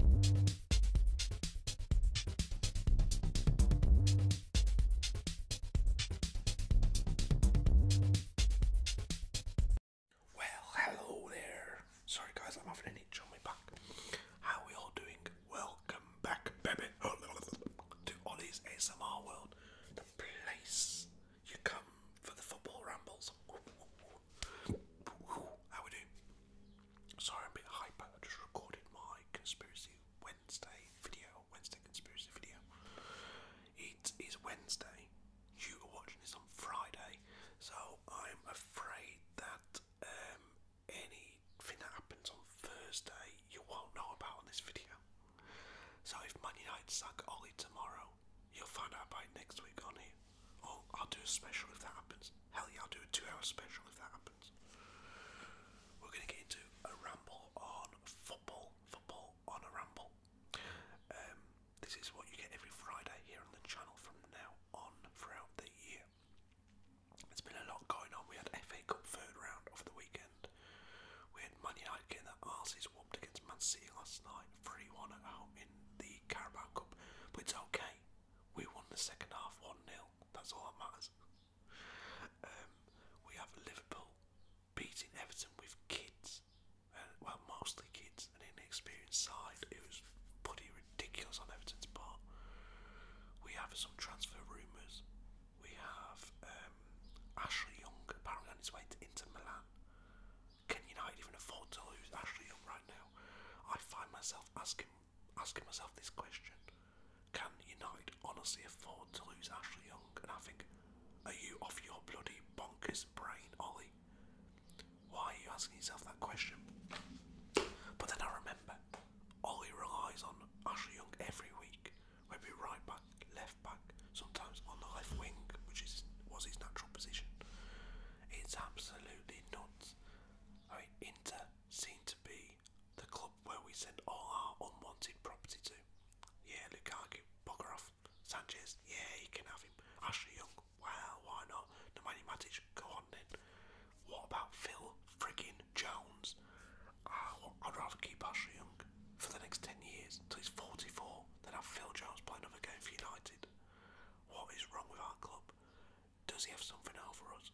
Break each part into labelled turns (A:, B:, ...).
A: Well, hello there. Sorry, guys, I'm having an itch on my back. How are we all doing? Welcome back, baby, to Ollie's ASMR World, the place you come for the football rambles. How we do? Sorry, I'm a bit hyper. I just recorded my conspiracy Wednesday video, Wednesday conspiracy video. It is Wednesday. You are watching this on Friday, so I'm afraid that um, anything that happens on Thursday you won't know about on this video. So if Man night sucks, Ollie tomorrow, you'll find out about next week on here. Oh, I'll do a special if that happens. Hell yeah, I'll do a two-hour special if that happens. We're gonna get into a ramble on football. Football on a ramble. Um, this is what you get every Friday here on the channel from now on throughout the year. There's been a lot going on. We had FA Cup third round over the weekend. We had Man United getting their against Man City last night, 3-1 at in the Carabao Cup. But it's okay. We won the second half 1 0. That's all that matters. Um, we have Liverpool beating Everton with kids, uh, well, mostly kids, an inexperienced side. It was pretty ridiculous on Everton's part. We have some transfer rumours. We have um, Ashley Young apparently on his way to Inter Milan. Can United even afford to lose Ashley Young right now? I find myself asking asking myself this question. Can United honestly afford to lose Ashley Young? And I think, are you off your bloody bonkers brain, Ollie? Why are you asking yourself that question? But then I remember, Ollie relies on Ashley Young every week, whether right back, left back, sometimes on the left wing, which is was his natural position. It's absolutely nuts. I mean, Inter seem to be the club where we send all our unwanted property to. Yeah, Lukaku, bugger Sanchez, yeah, you can have him. Ashley Young, well, why not? Nemanja Matic, go on then. What about Phil friggin' Jones? Ah, I'd rather keep Ashley Young for the next 10 years, until he's 44, than have Phil Jones play another game for United. What is wrong with our club? Does he have something else for us?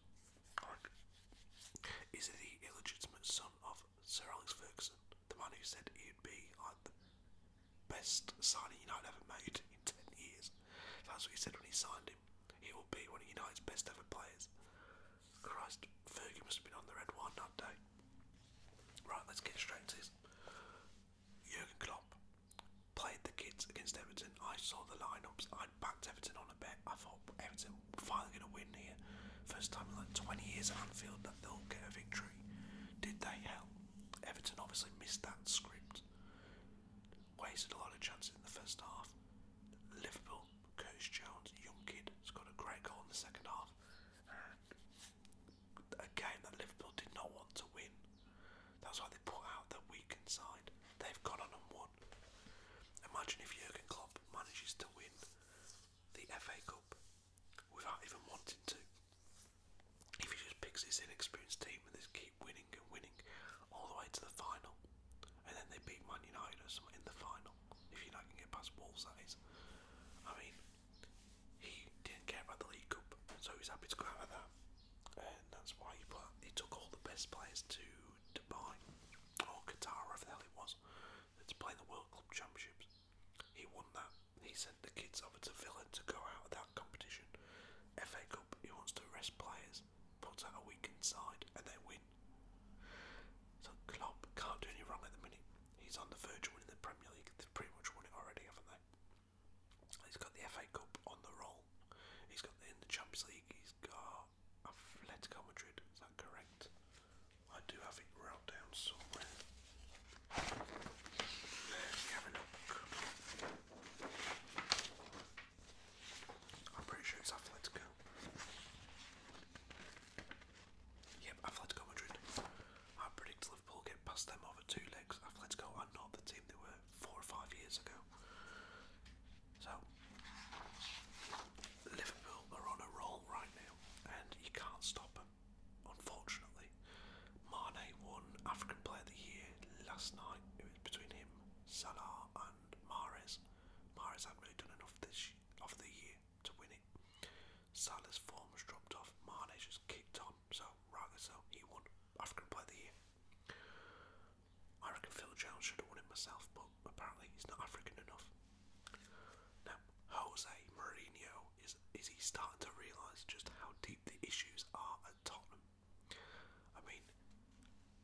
A: Like, is it the illegitimate son of Sir Alex Ferguson, the one who said he'd be like the best signing United ever made in ten years? That's what he said when he signed him. He will be one of United's best ever players. Christ, Fergie must have been on the red wine that day. Right, let's get straight to this. Jurgen Klopp played the kids against Everton. I saw the lineups. I backed Everton on a bet. I thought Everton finally going to win here. First time in like 20 years at Anfield that they'll get a victory. Did they? help? Everton obviously missed that script. Wasted a lot of chances in the first half. Liverpool, Curtis Jones, young kid, has got a great goal in the second half a game that Liverpool did not want to win. That's why they put out their weakened side. They've gone on and won. Imagine if Jurgen Klopp manages to win the FA Cup without even wanting to. If he just picks this inexperienced team and they keep winning and winning all the way to the final, and then they beat Man United or something in the final, if United can get past Wolves, that is. I mean, he didn't care about the League Cup, so he was happy to go out of that, and that's why he, put, he took all the best players to Dubai or Qatar, whatever the hell it was, to play the World Club Championships. He won that. He sent the kids over to Villa to go out of that competition. FA Cup, he wants to rest players, puts out a weakened side, and they win. So Klopp can't do any wrong at the minute. He's on the verge of winning the Premier League. They've pretty much won it already, haven't they? He's got the FA Cup on the roll. He's got the, in the Champions League. He's got Atletico Madrid. Is that correct? I do have it wrote down somewhere. Let's have a look. I'm pretty sure it's Atletico. Yep, Atletico Madrid. I predict Liverpool get past them over two legs. Atletico are not the team they were four or five years ago. So, Liverpool are on a roll right now, and you can't stop them, unfortunately. Mane won African Player of the Year last night. It was between him, Salah, and Mares. Mares hadn't really done enough this of the year to win it. Salah's form has dropped off. Mane's just kicked on. So rather, so, he won African Player of the Year. I reckon Phil Jones should have won it myself, but apparently he's not African enough. Now, Jose Mourinho is is he starting to realise just how deep the issues are at Tottenham? I mean,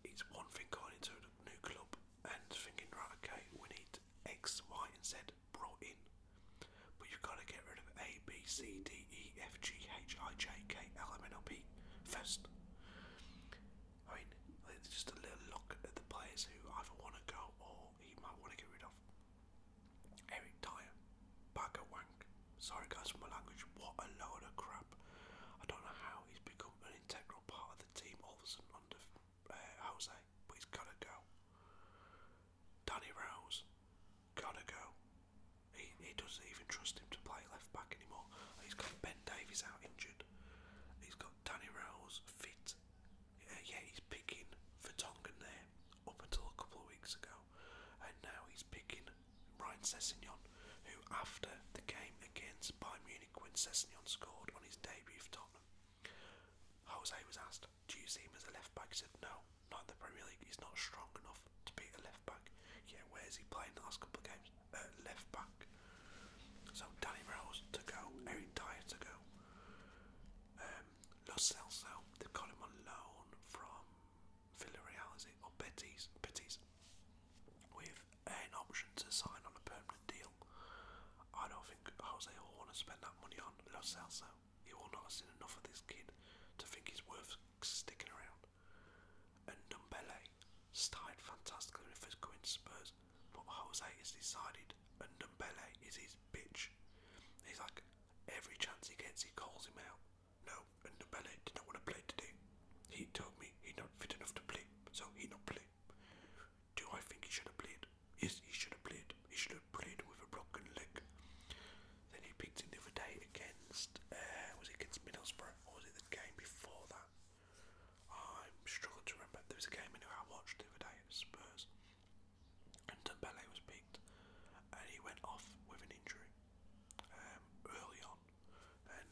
A: it's one thing going into a new club and thinking, right, okay, we need X, Y, and Z brought in. But you've got to get rid of A, B, C, D, E, F, G, H, I, J, K, L, M, N, O, P first. I mean, just a little look at the players who either want to go or he might want to get rid of. Eric Dyer, Bagger Wank. Sorry guys for my language, what a load of crap. I don't know how he's become an integral part of the team all of a sudden under uh, Jose, but he's got to go. Danny Rose, gotta go. He, he doesn't even trust him to play left back anymore. He's got Ben Davies out injured. He's got Danny Rose fit. Yeah, he's picking Vertonghen there up until a couple of weeks ago, and now he's picking Ryan Sessegnon, who after the game against Bayern Munich when Sessegnon scored on his debut for Tottenham, Jose was asked, do you see him as a left back? He said, no, not the Premier League. He's not strong enough to be a left back. Yeah, where's he playing the last couple of games? Uh, left back. So Danny Rose to go, Eric Dyer to go. Um, Los they've got him on loan from Villarreal, Or Betis, Betis. With an option to sign on a permanent deal. I don't think Jose will want to spend that money on Los Celso. You will not have seen enough of this kid to think he's worth sticking around. And Ndombele started fantastically with his going to Spurs, but Jose
B: has decided and Ndombele is his bitch. He's like, every chance he
A: gets, he calls him out. No, and Ndombele did not want to play today. He told me he's not fit enough to play, so he not play. Do I think he should have played? Yes, he should have played. He should have played with a broken leg. Then he picked in the other day against, uh, was it against Middlesbrough or was it the game before that? I'm struggling to remember. There was a game I watched the other day at Spurs, and Dembele was picked, and he went off with an injury um, early on, and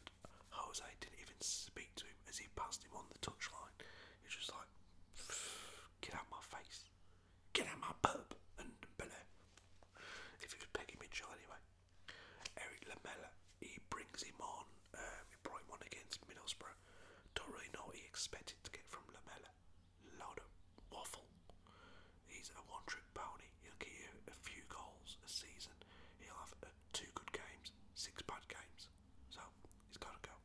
A: Jose didn't even speak to him as he passed him on the touchline. He just like, get out my face. Get out my pub and belly. If it was Peggy Mitchell anyway. Eric Lamella, he brings him on. Um, he brought him on against Middlesbrough. Don't really know what he expected to get from Lamella. Load of waffle. He's a one-trick pony. He'll get you a few goals a season. He'll have uh, two good games, six bad games. So he's got to go.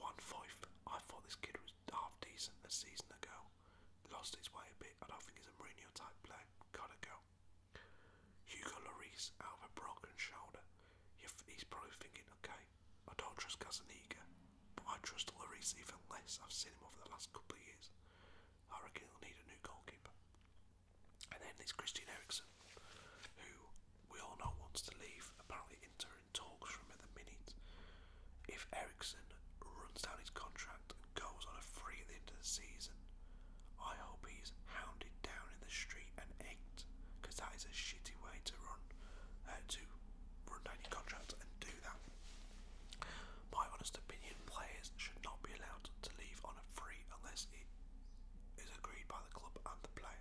A: One five. I thought this kid was half decent a season ago. Lost his way a bit. I don't think he's a Mourinho type player. Gotta go. Hugo Lloris out of a broken shoulder. He's probably thinking, okay, I don't trust Casaniga, but I trust Lloris even less. I've seen him over the last couple of years. I reckon he'll need a new goalkeeper. And then there's Christian Eriksen, who we all know wants to leave. Apparently, Inter in talks from at the minute. If Ericsson runs down his contract and goes on a free at the end of the season, I hope he's hounded down in the street and egged, because that is a shitty way to run, uh, to run down your contract and do that. My honest opinion, players should not be allowed to leave on a free unless it is agreed by the club and the player.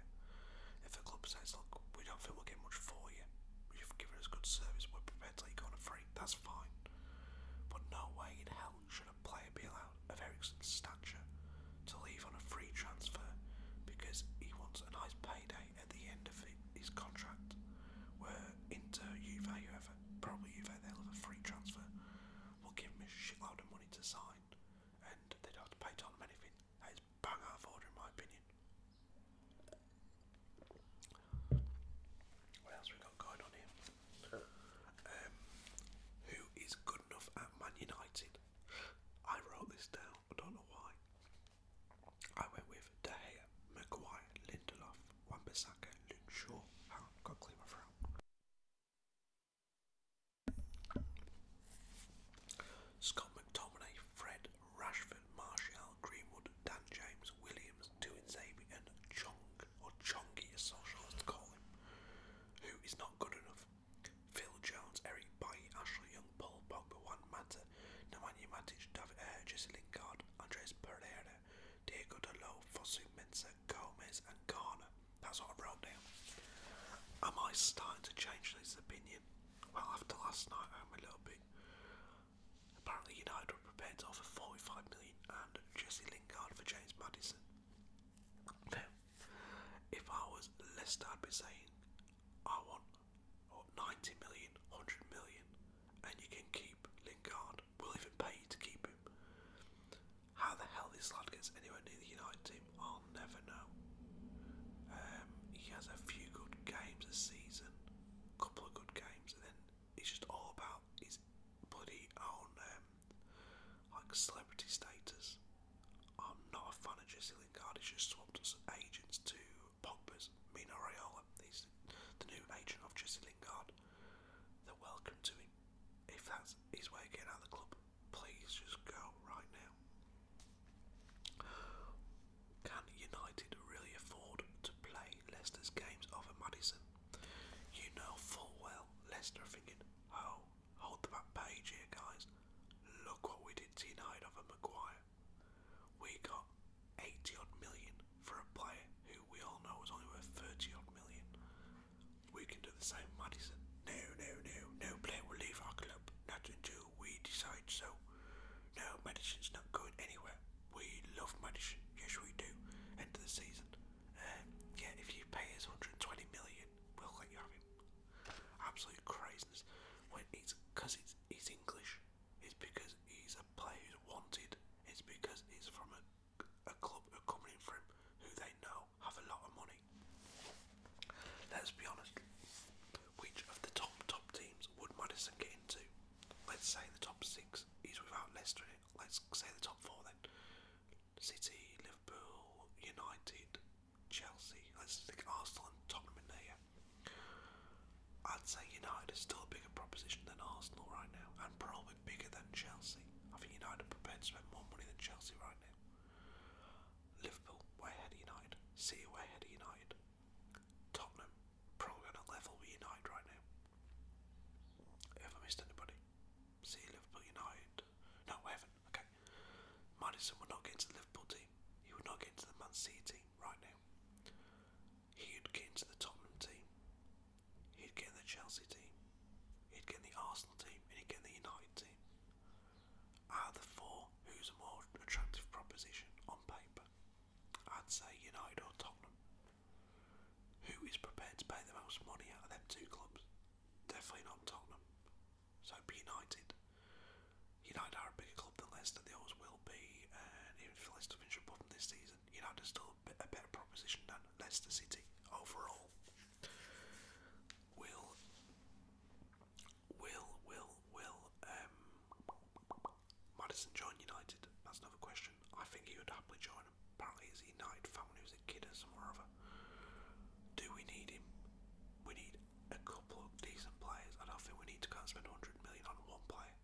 A: If the club says, look, we don't think we'll get much for you, you've given us good service, we're prepared to let you go on a free, that's fine. But no way in hell should a player be allowed of Ericsson's stature to leave on a free transfer because he wants a nice payday at the end of his contract. Where into Juve, whoever, probably had they hell of a free transfer, we will give him a shitload of money to sign and they don't have to pay Tottenham anything. That is bang out order in my opinion. What else we got going on here? Um, who is good enough at Man United? I wrote this down. I don't know why. I went with De Gea, Maguire, Lindelof, Wan-Bissaka, got to my throat. Scott McTominay, Fred, Rashford, Marshall, Greenwood, Dan James, Williams, Tuin Zabi and Chong, or Chongi as socialists call him, who is not good enough. Phil Jones, Eric Bailly, Ashley Young, Paul Pogba, No Mata, you Matic, David Ayer, Jesse Lingard, Andres Pereira, Diego Delo, Fosu Mensah, Gomez and Garner. That's what I wrote down. Am I starting to change his opinion? Well, after last night, I'm a little bit. Apparently, United were prepared to offer 45 million and Jesse Lingard for James Madison. Now, if I was Leicester, I'd be saying, I want 90 million, 100 million, and you can keep Lingard. We'll even pay you to keep him. How the hell this lad gets anywhere near the United team I'll never know. Um, he has a few good games a season, a couple of good games, and then it's just all about his bloody own
B: um, like celebrity status. I'm not a fan of Jesse Lingard.
A: He's just swapped us agents to Pogba's Mino Raiola. He's the new agent of Jesse Lingard. They're welcome to him if that's his way of getting out of the club. Please just go right now. Can United really afford to play Leicester's games over Madison? You know full well Leicester are thinking, oh, hold the back page here, guys. Look what we did to over Maguire. We got 80 odd million for a player who we all know was only worth 30 odd million. We can do the same, Madison. No, no, no, no player will leave our club, not until we decide so. No, Madison's not good anywhere. We love Madison, yes we do. End of the season. Um, yeah, if you pay us 120 million, we'll let you have him. Absolute craziness. When it's because it's he's English. It's because he's a player who's wanted. It's because he's from a, a club coming in who they know have a lot of money. Let's be honest. Which of the top top teams would Madison get into? Let's say the top six is without Leicester Let's say the top four then. City, Liverpool, United, Chelsea. Arsenal and Tottenham there. I'd say United is still a bigger proposition than Arsenal right now, and probably bigger than Chelsea. I think United are prepared to spend more money than Chelsea right now. Liverpool way ahead of United. City way ahead of United. Tottenham probably on a level
B: with United right now. Have I missed anybody? City, Liverpool, United.
A: No, we haven't. Okay. Madison would not get into the Liverpool team. He would not get into the Man City team right now. He'd get into the Tottenham team. He'd get in the Chelsea team. He'd get in the Arsenal team. And he'd get in the United team. Out of the four, who's a more attractive proposition on paper? I'd say United or Tottenham. Who is prepared to pay the most money out of them two clubs? Definitely not Tottenham. So United. United are a bigger club than Leicester, they always will be, even if Leicester finish above this season, United are still a better proposition than Leicester City overall will, will, will, will um, Madison join United? That's another question. I think he would happily join. Apparently, he's United fan when a kid or somewhere Do we need him? We need a couple of decent players. I think we need to go and spend 100 million on one player.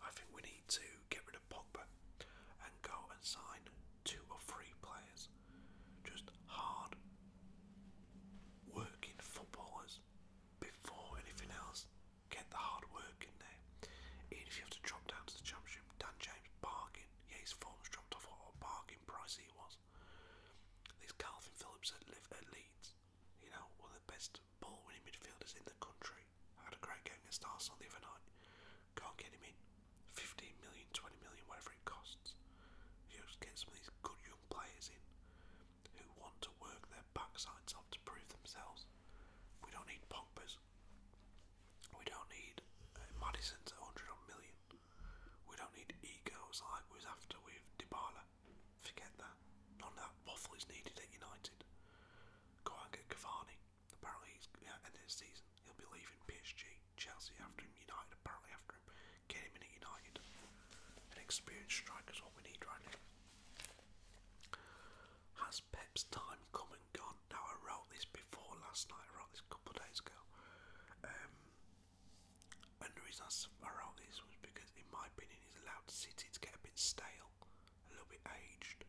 A: I think we need to get rid of Pogba and go and sign two or three players just hard working footballers before anything else get the hard work in there. Even if you have to drop down to the championship,
B: Dan James bargain, yeah his form's dropped off what a bargain price he was. There's Calvin Phillips at live at Leeds, you know, one of the best ball winning
A: midfielders in the country. I had a great game against Arsenal the other night. Can't get him in. 15 million, whatever it costs. just get some of these good young players in who want to work their backsides off to prove themselves. We don't need Pogba's. We don't need uh, Madison's 100 on million. We don't need egos like was after with Dybala. Forget that. None of that waffle is needed at United. Go and get Cavani. Apparently, he's, yeah, end of season, he'll be leaving PSG, Chelsea after him, United apparently after him. Get him at United. An experienced striker's what we need right now. Has Pep's time come and gone? Now, I wrote this before last night, I wrote this a couple days ago. Um, and the reason I wrote this was because, in my opinion, he's allowed City to get a bit stale, a little bit aged.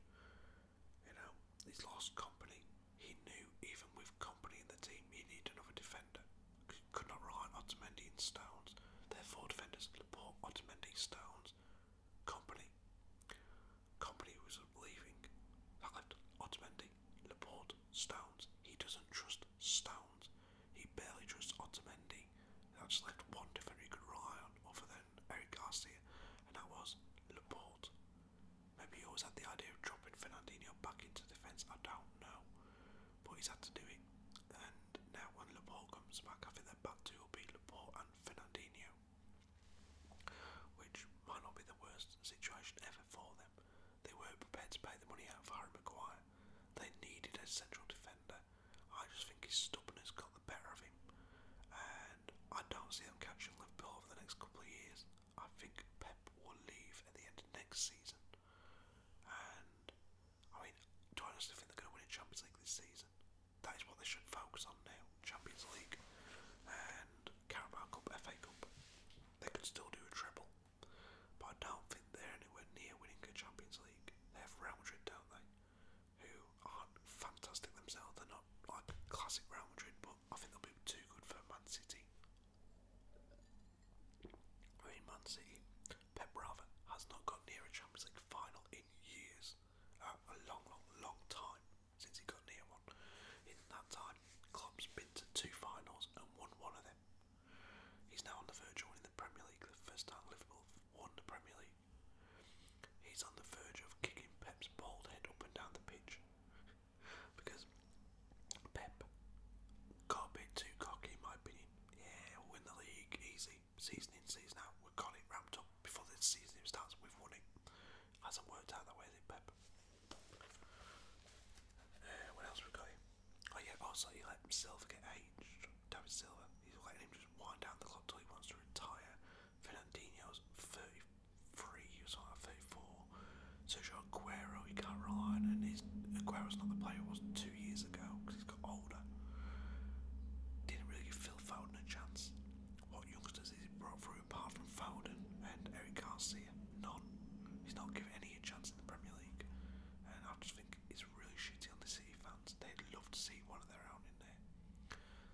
A: You know, he's lost company. He knew even with company in the team, you need another defender. He could not rely on Otamendi and Stones. Therefore, four defenders Laporte, Otamendi, Stones, Company. Company was leaving. left
B: Otamendi, Laporte, Stones. He doesn't trust Stones. He barely
A: trusts Otamendi. That's left one defender he could rely on other than Eric Garcia,
B: and that was Laporte. Maybe he always had the idea of dropping Fernandinho back into
A: defence, I don't know. But he's had to do it. And now when Laporte comes back, I think their back two will be Laporte and Fernandinho. Which might not be the worst situation ever for them. They weren't prepared to pay the money out for Harry Maguire. They needed a central defender. I just think his stubbornness got the better of him. And I don't see them catching Liverpool over the next couple of years. I think Pep will leave at the end of next season. And I mean, do I honestly think they're going to win a Champions League this season? That is what they should focus on now: Champions League and Carabao Cup, FA Cup. They could still do a treble, but I don't think they're anywhere near winning a Champions League. They have Real Madrid, don't they? Who aren't fantastic themselves. They're not like classic Real Madrid, but I think they'll be too good for Man City. I mean, Man City, Pep Brava has not got near a Champions League final in years. Uh, a long, long, long time since he got near one. In that time, Klopp's been to two finals and won one of them. He's now on the verge of winning the Premier League, the first time Liverpool won the Premier League. He's on the verge of kicking Pep's bald head up and down the pitch because Pep got a bit too cocky, in my opinion. Yeah, win the league easy, season in, season out. We've got it up before the season starts. We've won it. Hasn't worked out that way, has Pep? Uh, what else we got? Oh yeah, also he let Silva get aged. David Silva. He's letting him just wind down the clock till he wants to retire. Fernandinho's 33 or something, 34. Sergio Aguero, you can't rely on, and his, Aguero's not the player he was two years ago because he's got older. Didn't really give Phil Foden a chance. What youngsters has he brought through apart from Foden and Eric Garcia? None. He's not given any a chance in the Premier League, and I just think it's really shitty on the City fans. They'd love to see one of their own in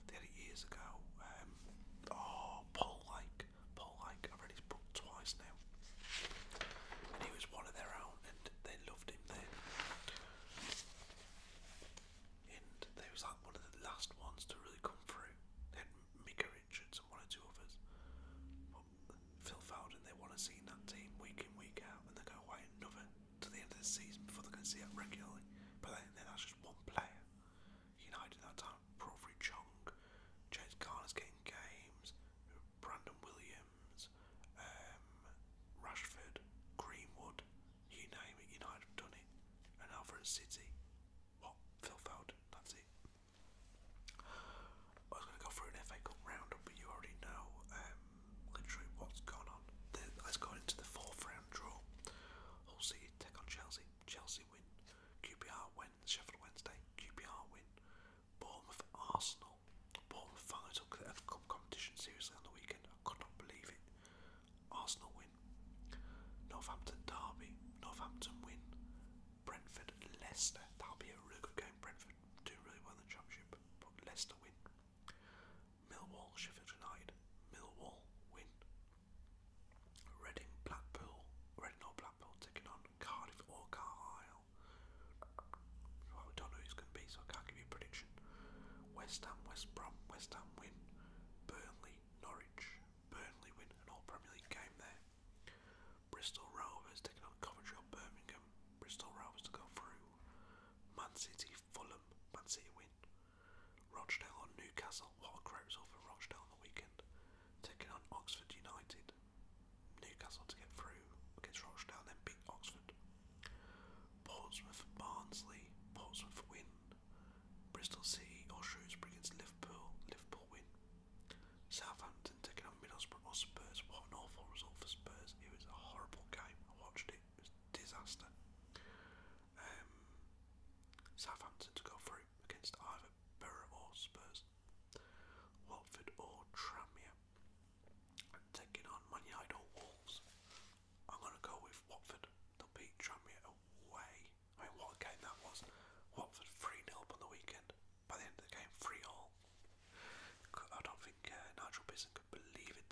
A: there. years ago. Um, oh, Paul Lake. Paul Lake. I've read his book twice now. And he was one of their own, and they loved him then. And they was like one of the last ones to really come through. They had Richards and one or two others. Phil Foden, they want to see that team week in, week out, and they go away another to the end of the season before they can see it regularly. But then that's just one player. United at that time, Provery Chung, James Garner's getting games, Brandon Williams, um, Rashford, Greenwood, you name it, United have done it. And now for City, what? Phil Foden, that's it. I was going to go through an FA Cup roundup, but you already know um, literally what's gone on. The, let's go into the fourth round draw. Hull City take on Chelsea. Chelsea win. QPR win. Sheffield Wednesday. QPR win. Bournemouth Arsenal. Bournemouth finally took the FA Cup competition seriously on the weekend. I could not believe it. Arsenal win. Northampton Derby. Northampton win. Brentford Leicester. That'll be a really good game. Brentford do really well in the championship, but Leicester win. Millwall Sheffield United. Millwall win. Reading Blackpool, Reading or Blackpool taking on Cardiff or Carlisle. Well, we don't know who's going to be, so I can't give you a prediction. West Ham, West Brom, West Ham win. Burnley, Norwich, Burnley win an all Premier League game there. Bristol Rovers taking on Coventry or Birmingham. Bristol Rovers to go through. Man City City, Fulham, Man City win. Rochdale on Newcastle. What a great result for Rochdale on the weekend. Taking on Oxford United. Newcastle to get through against Rochdale, then beat Oxford. Portsmouth, Barnsley. Portsmouth win. Bristol City or Shrewsbury against Liverpool. Liverpool win. Southampton taking on Middlesbrough or Spurs. What an awful result for Spurs. It was a horrible game. I watched it. It was a disaster. Um, Southampton to go through against either Borough or Spurs, Watford or Tranmere. i taking on Man United or Wolves. I'm going to go with Watford. They'll beat Tranmere away. I mean, what a game that was. Watford 3 nil on the weekend. By the end of the game, 3 all. I don't think uh, Nigel Pearson could believe it.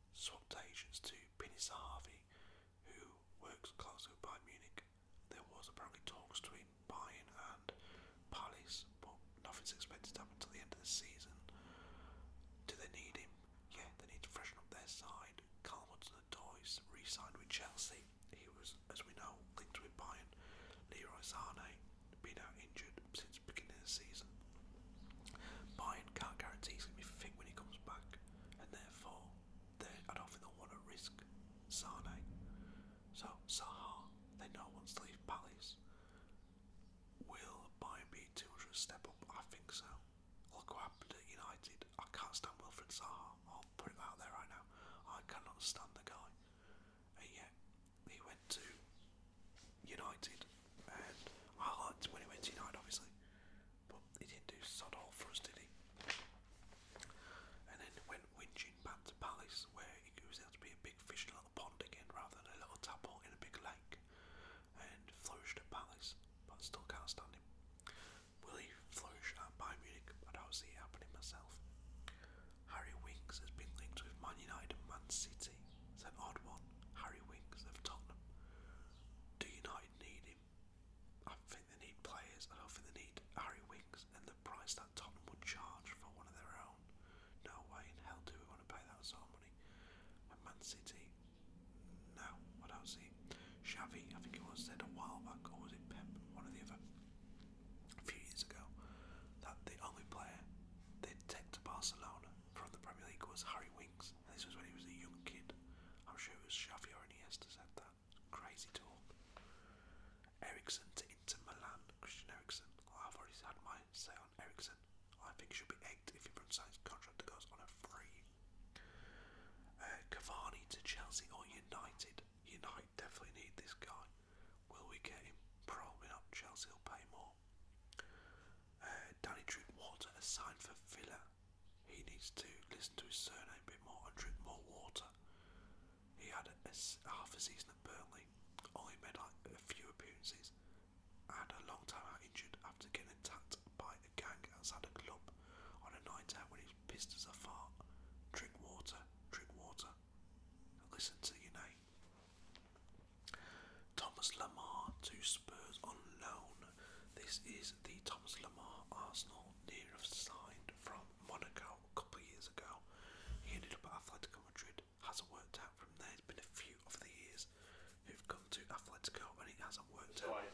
A: swapped agents to Pinis Harvey, who works closely with Bayern Munich. There was apparently talks between Bayern and Palace, but nothing's expected to happen until the end of the season. Do they need him? Yeah, they need to freshen up their side. Carl Hudson Toys re signed with Chelsea. He was, as we know, linked with Bayern. Leroy Sane been out injured since beginning the season. Bayern can't guarantee he's going to be fit when he comes back, and therefore, I don't think they want to risk Sane. So, Saha, they know wants to leave Palace. Will Bayern be 200 step up? I think so. Look what happened at United. I can't stand Wilfred Saha. I'll put him out there right now. I cannot stand the guy. And he went to United, and I liked when he went to United, obviously, but he didn't do sod all for us, did he? And then went whinging back to Palace, where he was able to be a big fish in a little pond again, rather than a little tadpole in a big lake, and flourished at Palace, but still can't stand him. Will he flourish at Bayern Munich? I don't see it happening myself. Harry Winks has been linked with Man United and Man City. It's an odd one. Harry Winks of Tottenham. Do United need him? I think they need players. I don't think they need Harry Winks and the price that Tottenham would charge for one of their own. No way in hell do we want to pay that sort of money. And Man City? No, I don't Xavi, I think it was said a while back, or was it Pep? One of the other. A few years ago, that the only player they'd take to Barcelona from the Premier League was Harry Winks. this was when he was a young kid. I'm sure it was Xavi or Iniesta said that. Crazy talk. Ericsson to Inter Milan. Christian Ericsson. I've already had my say on Ericsson. I think he should be egged if he runs signs contract that goes on a free. Uh, Cavani to Chelsea or United. United definitely need this guy. Will we get him? Probably not. Chelsea will pay more. Uh, Danny Drinkwater,
B: a sign for Villa. He needs to listen to his surname a bit more and drink more water. He had half a season at Burnley, only made like a few appearances, and a long time out injured after getting attacked by a gang outside a
A: club on a night out when he pissed as a fart. Drink water, drink water, listen to your name. Thomas Lamar to Spurs on loan. This is the Thomas Lamar Arsenal near of signed from Monaco a couple of years ago. He ended up at Atletico Madrid, hasn't worked out from there. It's been a few of the years who've come to Atletico and it hasn't worked out.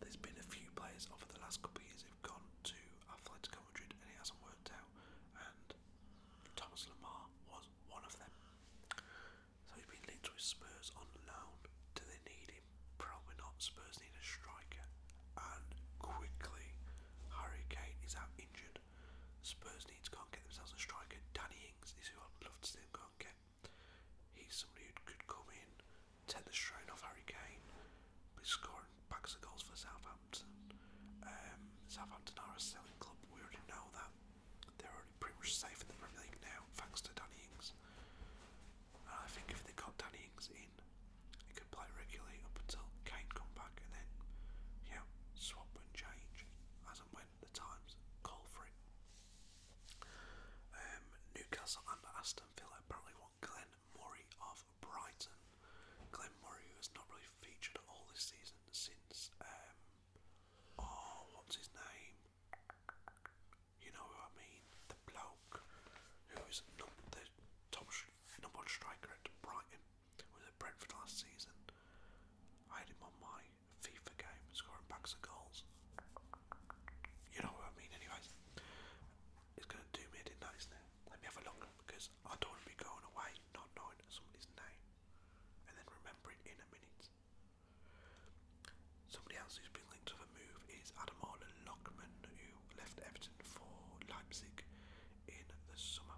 A: There's been a few players over the last couple of years who've gone to Atletico Madrid and it hasn't worked out and Thomas Lamar was one of them. So he's been linked with Spurs on loan. Do they need him? Probably not. Spurs need a striker, and quickly Harry Kane is out injured. Spurs need to go and get themselves a striker. Danny Ings is who I'd love to see them go and get. He's somebody who could come in, take the strain off Harry Kane, but scoring bags of goals for Southampton. Um, Southampton are a selling club, we already know that. They're already pretty much safe in the Premier League now, thanks to Danny Ings. And I think if they got Danny Ings in, they could play regularly up until Kane come back and then, yeah, swap and change as and when the times call for it. Um, Newcastle and Aston Villa apparently want Glenn Murray of Brighton. Glenn Murray, who has not really featured at all this season since, um, oh, what's his name? You know who I mean? The bloke who is num the top number one striker at Brighton was at Brentford last season. I had him on my FIFA game, scoring bags of goals. You know what I mean, anyways. It's going to do me a did nice now. Let me have a look because I don't be going away not knowing somebody's name and then remember in a minute. Somebody else who's been linked to the move is Adamola Lockman, who left Everton for Leipzig in the summer.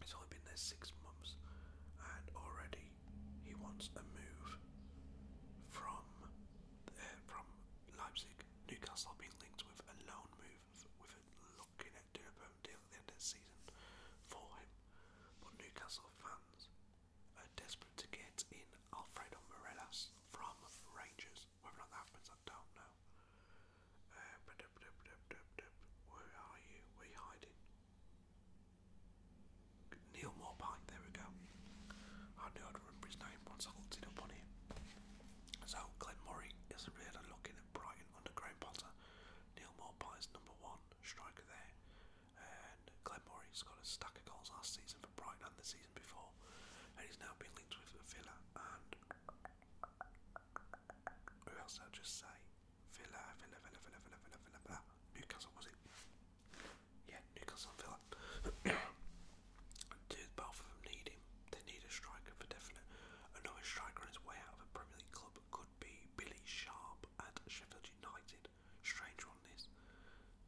A: He's only been there six months, and already he wants a move from uh, from Leipzig. Newcastle have linked with a loan move with looking at doing a permanent deal at the end of the season for him. But Newcastle fans are desperate to get in Alfredo Morelas from Rangers. Whether or not that happens, I don't know. Uh, where are you? Where are you hiding? Neil Morpie, there we go. I knew I'd remember his name once I looked it up on him. So Glenn Murray is a really looking at Brighton underground Potter. Neil Morpie is number one striker there. And Glenn Murray's got a stack of goals last season for Brighton and the season before. And he's now been linked with Villa and who else I'll just say? Villa, Villa, Villa, Villa, Villa, Villa, Villa, Villa. Newcastle was it? Yeah, Newcastle Villa.
B: Two, both of them need him. They
A: need a striker for definite. Another striker on his way out of a Premier League club could be Billy Sharp at Sheffield United. Strange one this.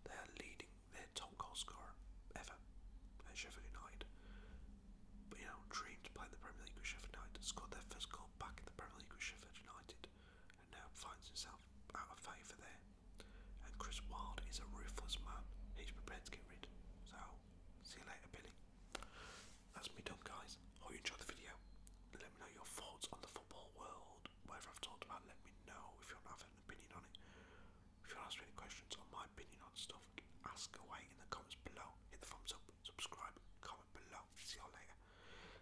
A: They are leading their top goal scorer ever at Sheffield United. you know, dreamed to play the Premier League with Sheffield United, scored their first goal back in the Premier League with Sheffield United, and now finds himself out of favour there. And Chris Wilde is a ruthless man. He's prepared to get rid. So See you later, Billy. That's me done, guys. Hope you enjoyed the
B: video. Let me know your thoughts on the football world. Whatever I've talked about, let me know if you want to have an opinion on it. If you want to any questions
A: on my opinion on stuff, ask away in the comments below. Hit the thumbs up, subscribe, comment
B: below. See you all later.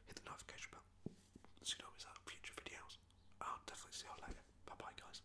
B: Hit the notification bell so you don't future videos. I'll definitely see you all later. Bye bye, guys.